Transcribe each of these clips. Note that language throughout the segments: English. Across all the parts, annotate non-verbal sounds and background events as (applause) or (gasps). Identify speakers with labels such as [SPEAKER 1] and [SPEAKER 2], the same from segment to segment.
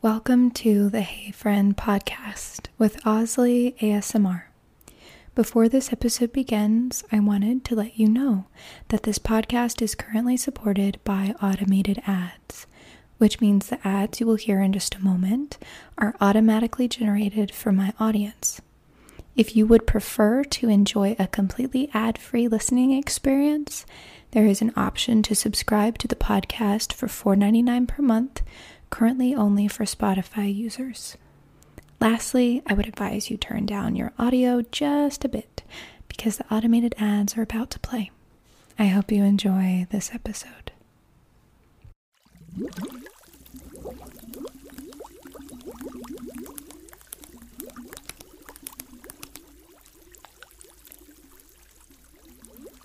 [SPEAKER 1] Welcome to the Hey Friend podcast with Osley ASMR. Before this episode begins, I wanted to let you know that this podcast is currently supported by automated ads, which means the ads you will hear in just a moment are automatically generated for my audience. If you would prefer to enjoy a completely ad free listening experience, there is an option to subscribe to the podcast for $4.99 per month, currently only for Spotify users. Lastly, I would advise you turn down your audio just a bit because the automated ads are about to play. I hope you enjoy this episode.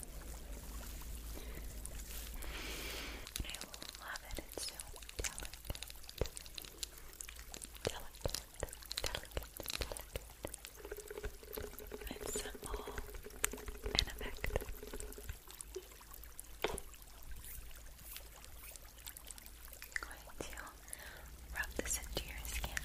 [SPEAKER 1] I love it, it's so delicate. Delicate, delicate, delicate. It's simple and effective. I'm going to rub this into your skin.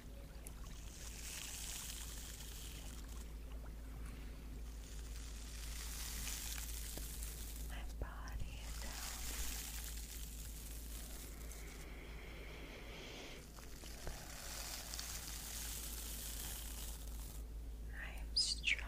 [SPEAKER 1] My body I am strong.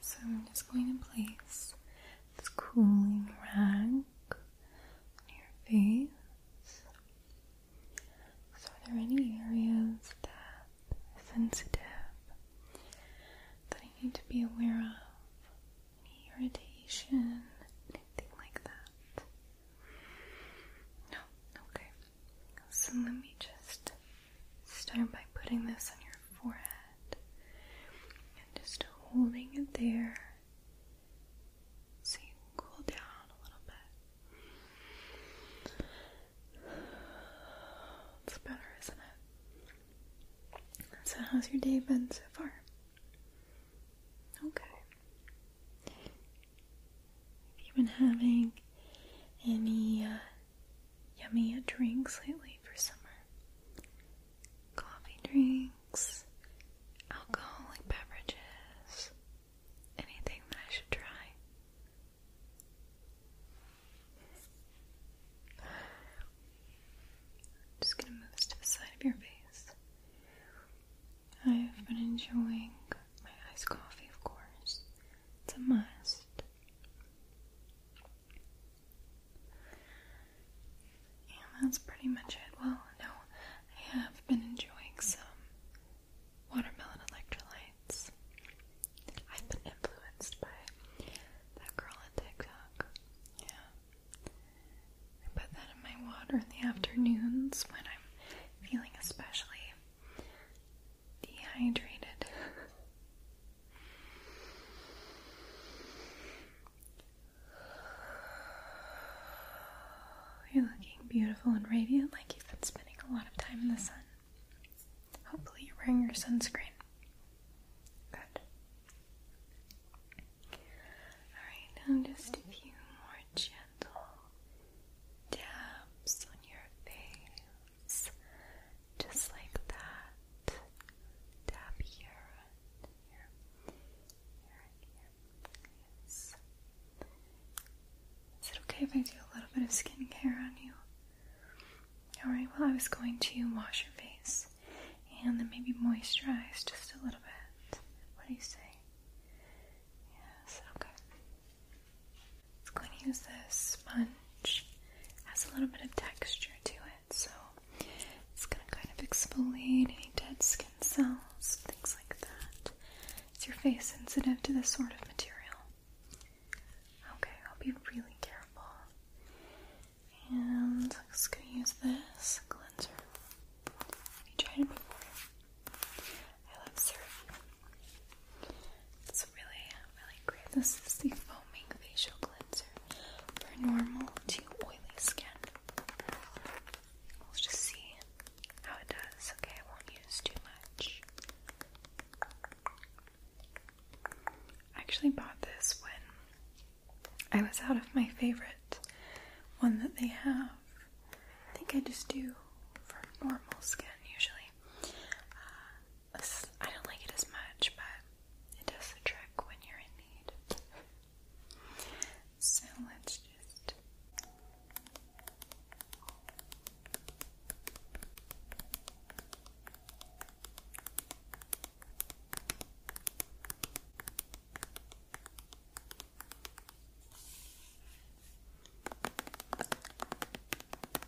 [SPEAKER 1] So I'm just going to place this cooling rag on your face. So are there any areas that sensitive that I need to be aware of? Any irritation? Anything like that? Okay. So let me just start by putting this on your forehead and just holding it there so you cool down a little bit. It's better, isn't it? So, how's your day been so far? Okay. Have you been having any uh, yummy drinks lately for summer? Coffee drinks, alcoholic beverages, anything that I should try? just gonna move this to the side of your face. I've been enjoying my iced coffee, of course. It's a must. And that's pretty much it. Well, no, I have been enjoying some watermelon electrolytes. I've been influenced by that girl on TikTok. Yeah. I put that in my water in the afternoons when I'm feeling especially dehydrated. You're looking beautiful and radiant like you've been spending a lot of time in the sun. Hopefully, you're wearing your sunscreen. Good. Alright, now just a few more gentle dabs on your face just like that. Tap here. Yes. Is it okay if I do a little bit of skincare on you? Alright, well, I was going to wash your face and then maybe moisturize just a little bit. What do you say? Yes, okay. It's going to use this sponge. It has a little bit of texture to it, so it's going to kind of exfoliate any dead skin cells, things like that. Is your face sensitive to this sort of material? Okay, I'll be really careful. And I'm just going to use this cleanser. Have you tried it before? I love serum. It's really, really great. This is the foaming facial cleanser for normal to oily skin. Let's just see how it does. Okay, I won't use too much. I actually bought this when I was out of my favorite one that they have. I think I just do for normal skin usually. Uh, I don't like it as much, but it does the trick when you're in need. so let's just.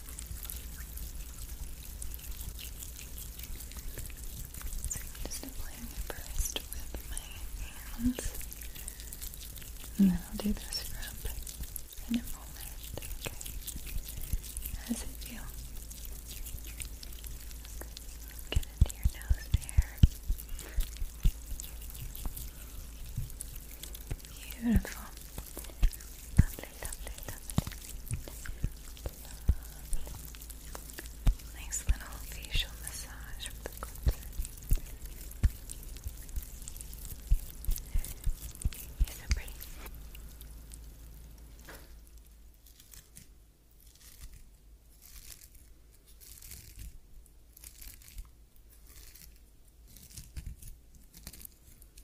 [SPEAKER 1] So I'm just applying the with my hands. And then I'll do the scrub in a moment. Okay. How it feel? Get into your nose there. Beautiful. Lovely, lovely, lovely. Nice little facial massage with the pretty?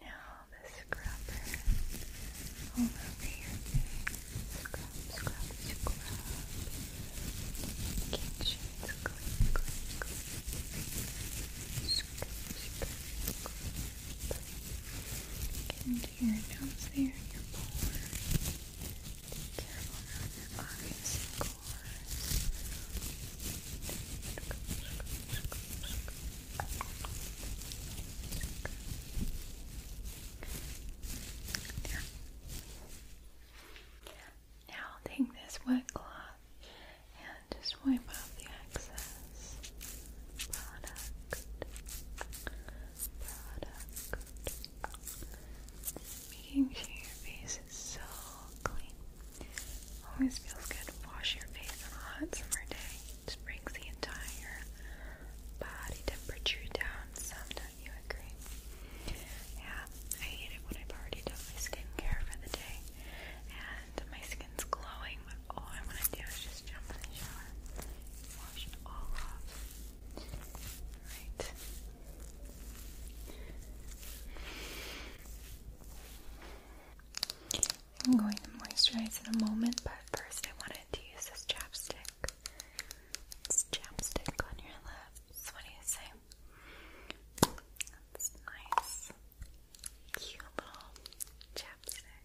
[SPEAKER 1] Now the scrubber over your face. Scrub, scrub, scrub. Making sure it's clean, clean, clean. Scrub, scrub, scrub to your nose there, your pores. Be careful around your eyes, of course. Now I'll take this wet cloth and just wipe off the excess Product. Making sure your face is so clean. Always feels good to wash your face on a hot summer day. Just brings the entire body temperature down. Some do you agree? Yeah, I hate it when I've already done my skincare for the day and my skin's glowing, but all I want to do is just jump in the shower, wash it all off. I'm going to moisturize in a moment, but first I wanted to use this chapstick. chapstick on your lips. What do you say? That's nice. Cute little chapstick.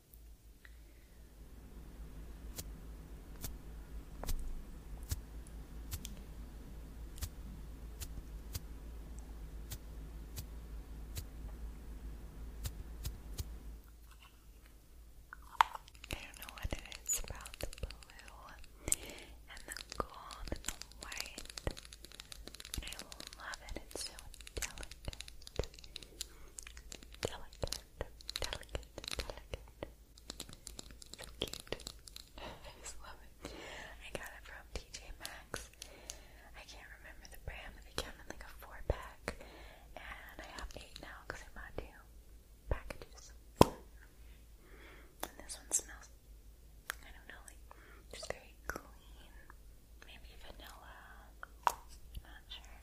[SPEAKER 1] I don't know what it is about the blue and the gold and the white, I love it. It's so delicate. Delicate, delicate, delicate. So cute. I love it. I got it from TJ Maxx. I can't remember the brand, they came in like a four pack. And I have eight now because I bought two packages. And this one smells, I don't know, like just very clean maybe vanilla, not sure.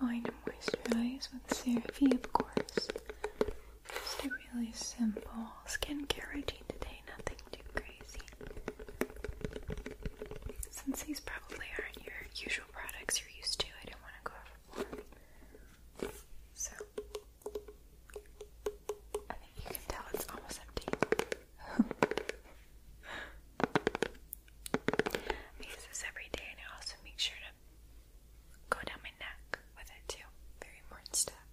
[SPEAKER 1] We're going to moisturize with CeraVe, of course. Just a really simple skincare routine today, nothing too crazy. Since these probably aren't your usual products you're used to, I don't want to go overboard. So, I think you can tell it's almost empty. (laughs) use this every day and I also make sure to go down my neck with it too. Very important step.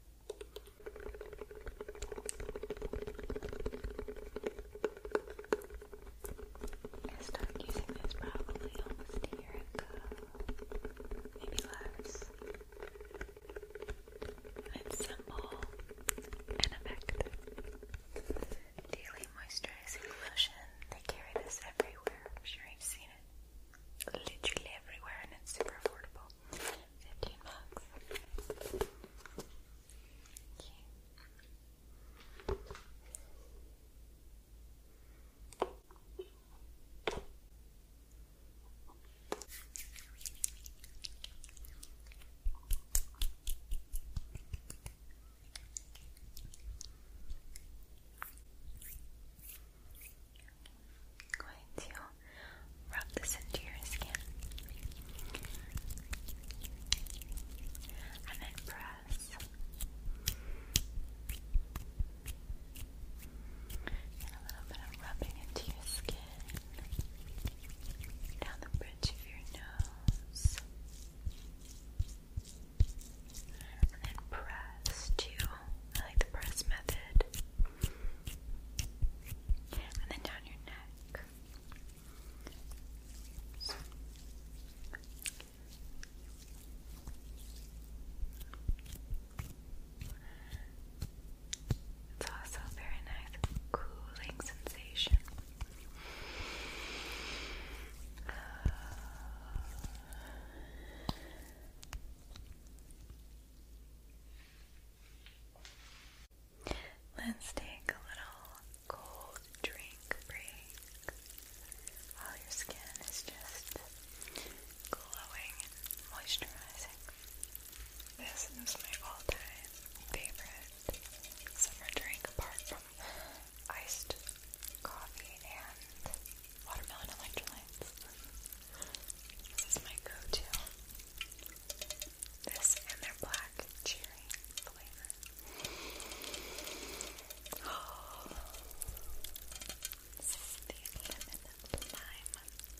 [SPEAKER 1] I start using this probably almost a year ago. Maybe less. It's simple and effective. Daily moisturizing lotion. They carry this everywhere. I'm sure you've seen it. Literally everywhere, and it's super affordable. Fifteen bucks. Okay. I'm going to rub this into your skin and then press and a little bit of rubbing into your skin down the bridge of your nose, and then press I like the press method, and then down your neck. It's also very nice cooling sensation. Let's take a little cold drink break while your skin is just glowing and moisturizing. This is my all-time favorite summer drink apart from iced coffee and watermelon electrolytes. This is my go-to. This and their black cherry flavor. Oh, (gasps) this the lemon lime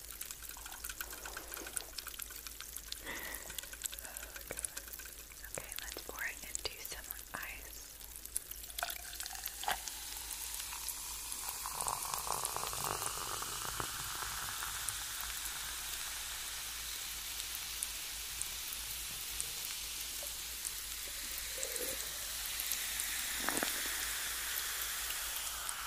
[SPEAKER 1] God. Okay, let's pour it into some ice. Okay,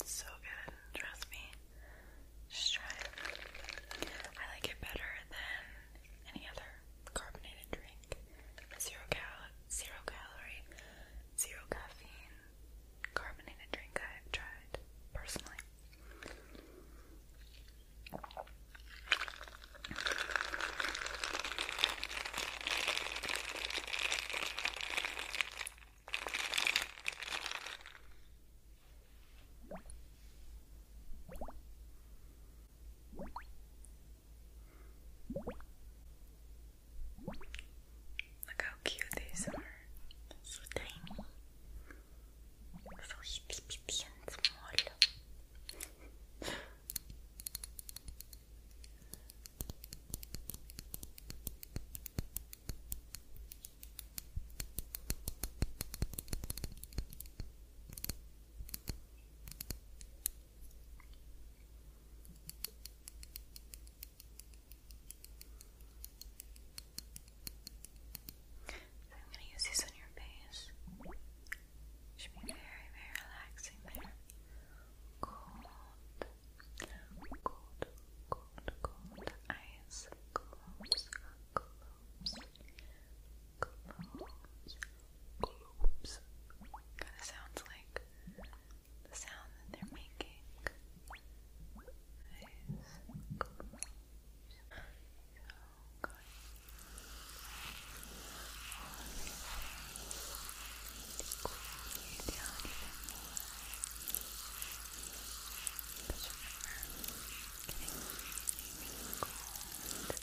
[SPEAKER 1] It's so good, trust me. Just try it. I like it better than any other carbonated drink, zero cal, zero calorie, zero caffeine carbonated drink I have tried personally. Look how cute these are. So tiny. So itty bitty and small. I'm going to use these on your face. Should be very, very relaxing there. Cold, cold, cold, cold eyes. Close, close, globes, globes. Kind of sounds like the sound that they're making. Nice. Globes. So good. Cool you down even more. Just remember, getting really cold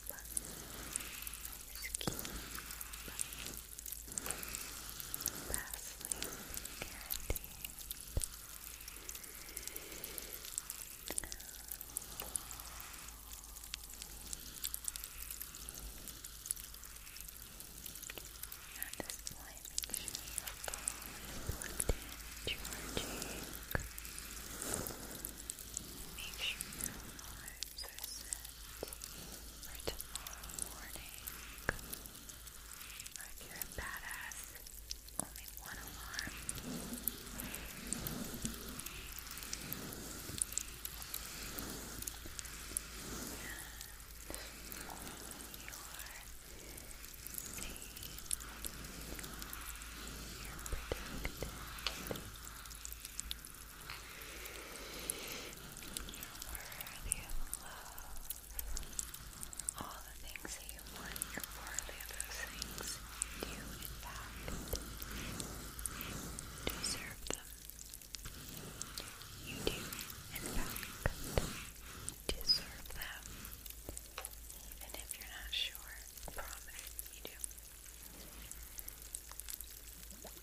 [SPEAKER 1] At this point, make sure your phone is plugged in, charging. Make sure your phone for tomorrow morning. Or you're a badass, only one alarm. And you are safe. You're protected. You're worthy of love. All the things that you want, you're worthy of those things. You, in fact, deserve them. You do, in fact, deserve them. Even if you're not sure, promise you do.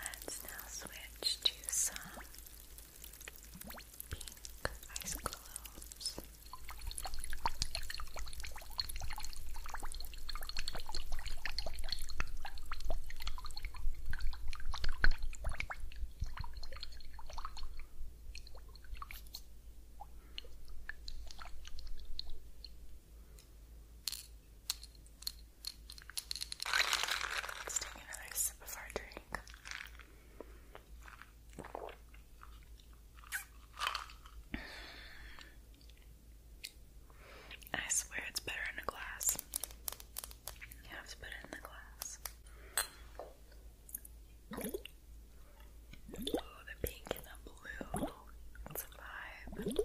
[SPEAKER 1] Let's now switch to some pink ice globes. Let's take another sip of our drink. I swear it's better in a glass. You have to put it in the glass. Oh, the pink and the blue. It's a vibe.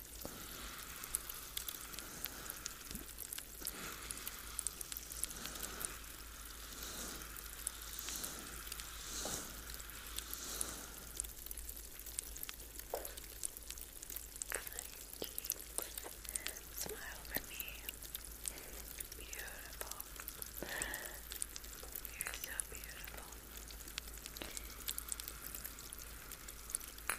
[SPEAKER 1] Smile for me. Beautiful. You're so beautiful. Good.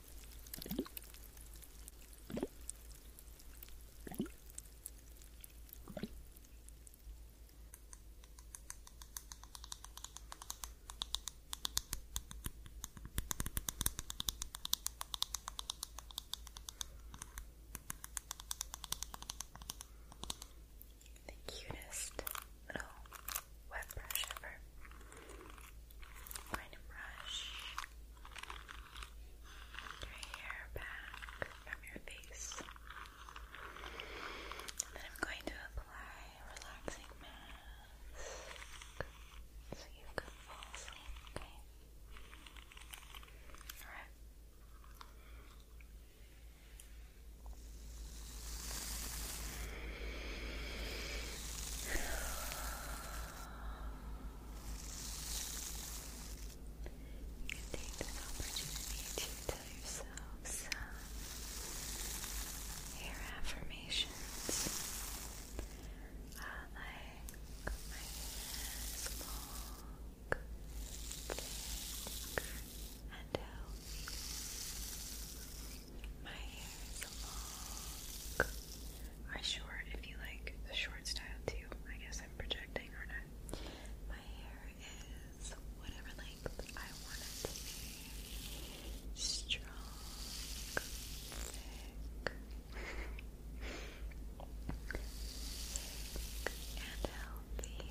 [SPEAKER 1] The cutest little wet brush ever. i brush your hair back from your face. then I'm going to apply a relaxing mask so you can fall asleep, okay? Alright. You can take this opportunity to tell yourself some affirmations. Uh, like my hands and healthy. Uh, my hair is short if you like the short style too. I guess I'm projecting, or not My hair is whatever length I want it to be. Strong, thick and healthy.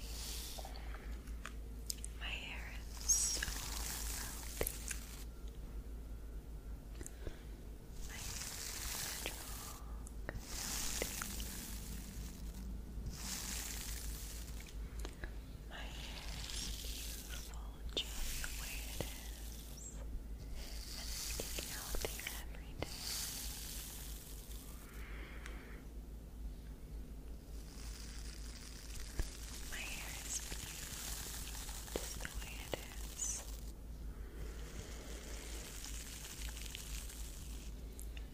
[SPEAKER 1] My hair is so healthy. My hair is beautiful just the way it is. And it's getting healthier every day. Thank you my hair is just the way it is.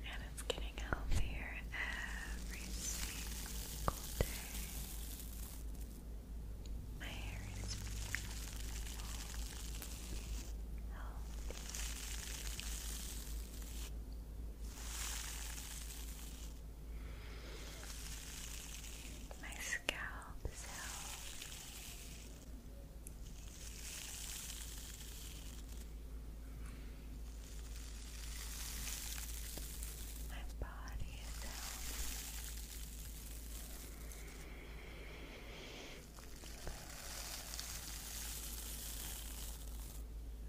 [SPEAKER 1] And it's getting healthier every single day. My hair is beautiful, healthy. My scalp my body is healthy.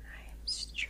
[SPEAKER 1] I am strong.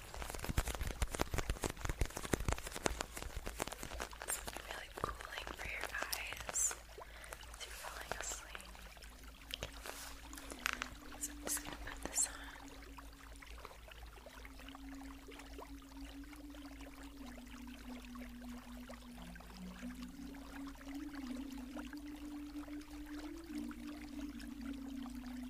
[SPEAKER 1] It's really cooling for your eyes you're falling asleep. So I'm just gonna put this on.